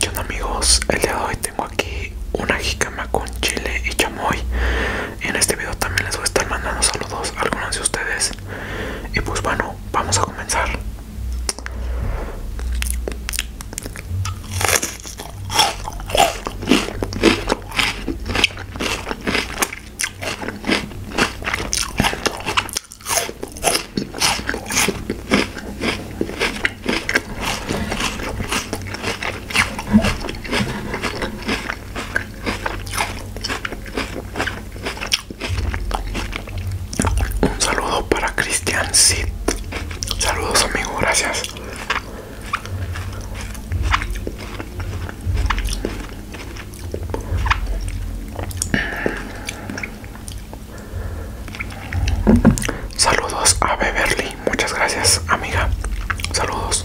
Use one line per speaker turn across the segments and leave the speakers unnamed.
¿Qué amigos? El día de hoy tengo aquí una jicama con chile y chamoy en este video también les voy a estar mandando saludos a algunos de ustedes y pues bueno, vamos a comenzar un saludo para Cristian Sid. Saludos amigo, gracias. Saludos a Beverly, muchas gracias amiga. Saludos.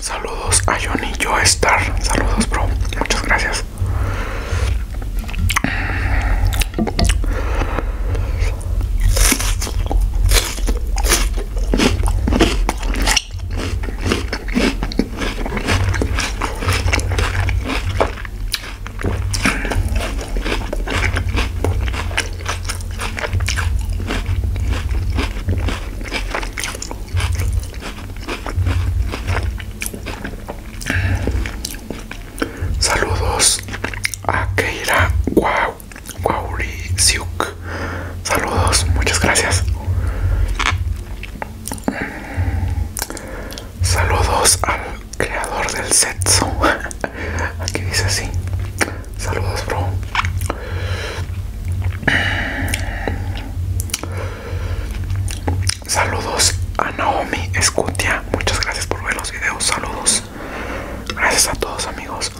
Saludos a Johnny Joestar. Saludos, bro. Muchas gracias. Saludos a Keira Siuk Saludos, muchas gracias. Saludos al creador del sexo. Aquí dice así. Saludos, bro. Saludos a Naomi Escutia. Muchas gracias por ver los videos. Saludos. Gracias a todos amigos.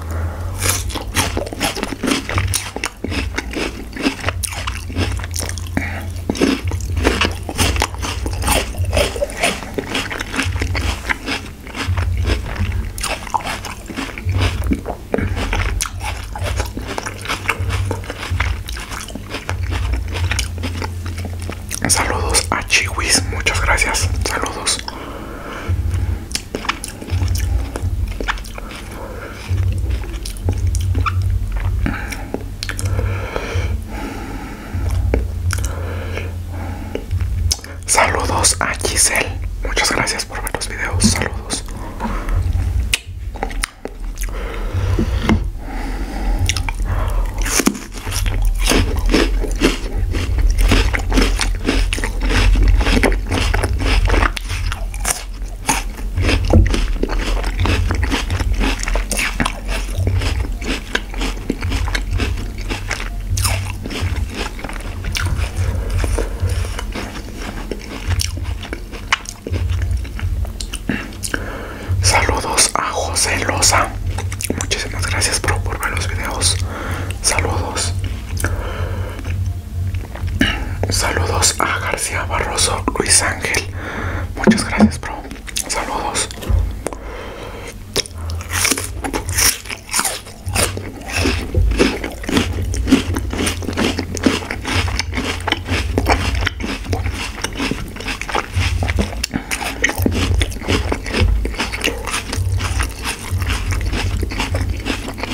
Saludos a Chiwis, muchas gracias. Saludos. Saludos a Giselle. Muchas gracias por ver los videos. Saludos. Saludos a José Losa, Muchísimas gracias por, por ver los videos. Saludos. Saludos a García Barroso Luis Ángel. Muchas gracias, bro. Saludos.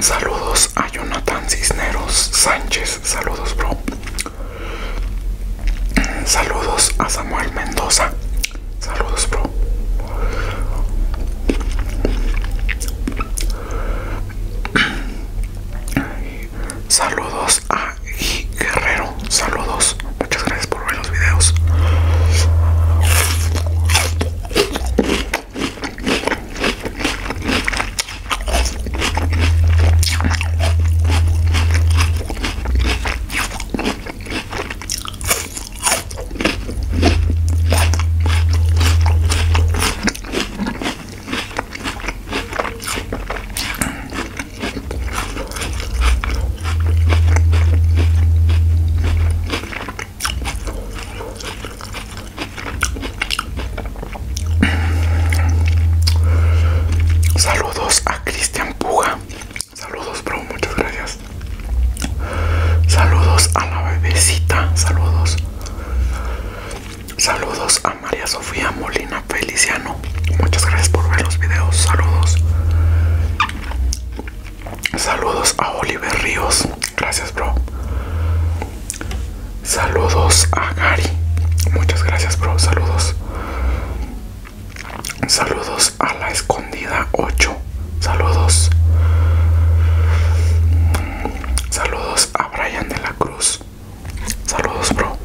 Saludos a Jonathan Cisneros Sánchez. Saludos, bro. Saludos a Samuel Mendoza. Saludos, bro. Saludos a Guerrero. Saludos. Muchas gracias por ver los videos. Saludos a Cristian Puga. Saludos, bro. Muchas gracias. Saludos a la bebecita. Saludos. Saludos a María Sofía Molina. Feliciano. Muchas gracias por ver los videos. Saludos. Saludos a Oliver Ríos. Gracias, bro. Saludos a Gary. Muchas gracias, bro. Saludos. Saludos a la escondida 8. Saludos. Saludos a Brian de la Cruz. Saludos, bro.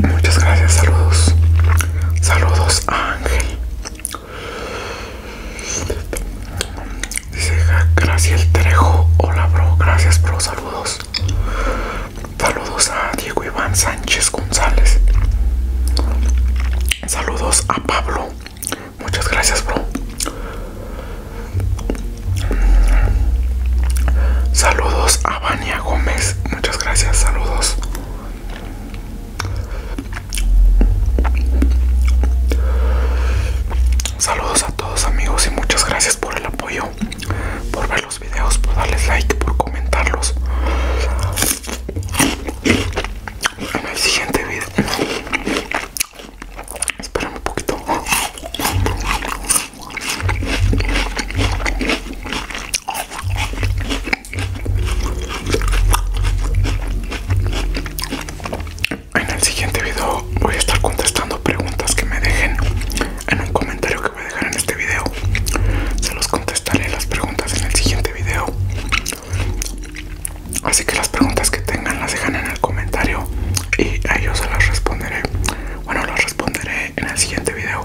Muchas gracias, saludos. Saludos a Ángel. Dice Gracias Trejo. Hola, bro. Gracias, bro. Saludos. Saludos a Diego Iván Sánchez González. Saludos a Pablo. Muchas gracias, bro. Saludos a Vania Gómez. Muchas gracias, saludos. Saludos a todos amigos y muchas gracias por el apoyo, por ver los videos, por darles like, por comentarlos. En el siguiente video. Espérame un poquito. En el siguiente video voy a estar contestando preguntas que me dejen en un comentario que voy a dejar en este video. Se los contestaré las preguntas en el siguiente video. Así que las preguntas que tengan las dejan en el comentario y a ellos se las responderé. Bueno, las responderé en el siguiente video.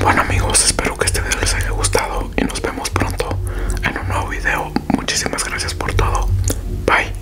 Bueno amigos, espero que este video les haya gustado y nos vemos pronto en un nuevo video. Muchísimas gracias por todo. Bye.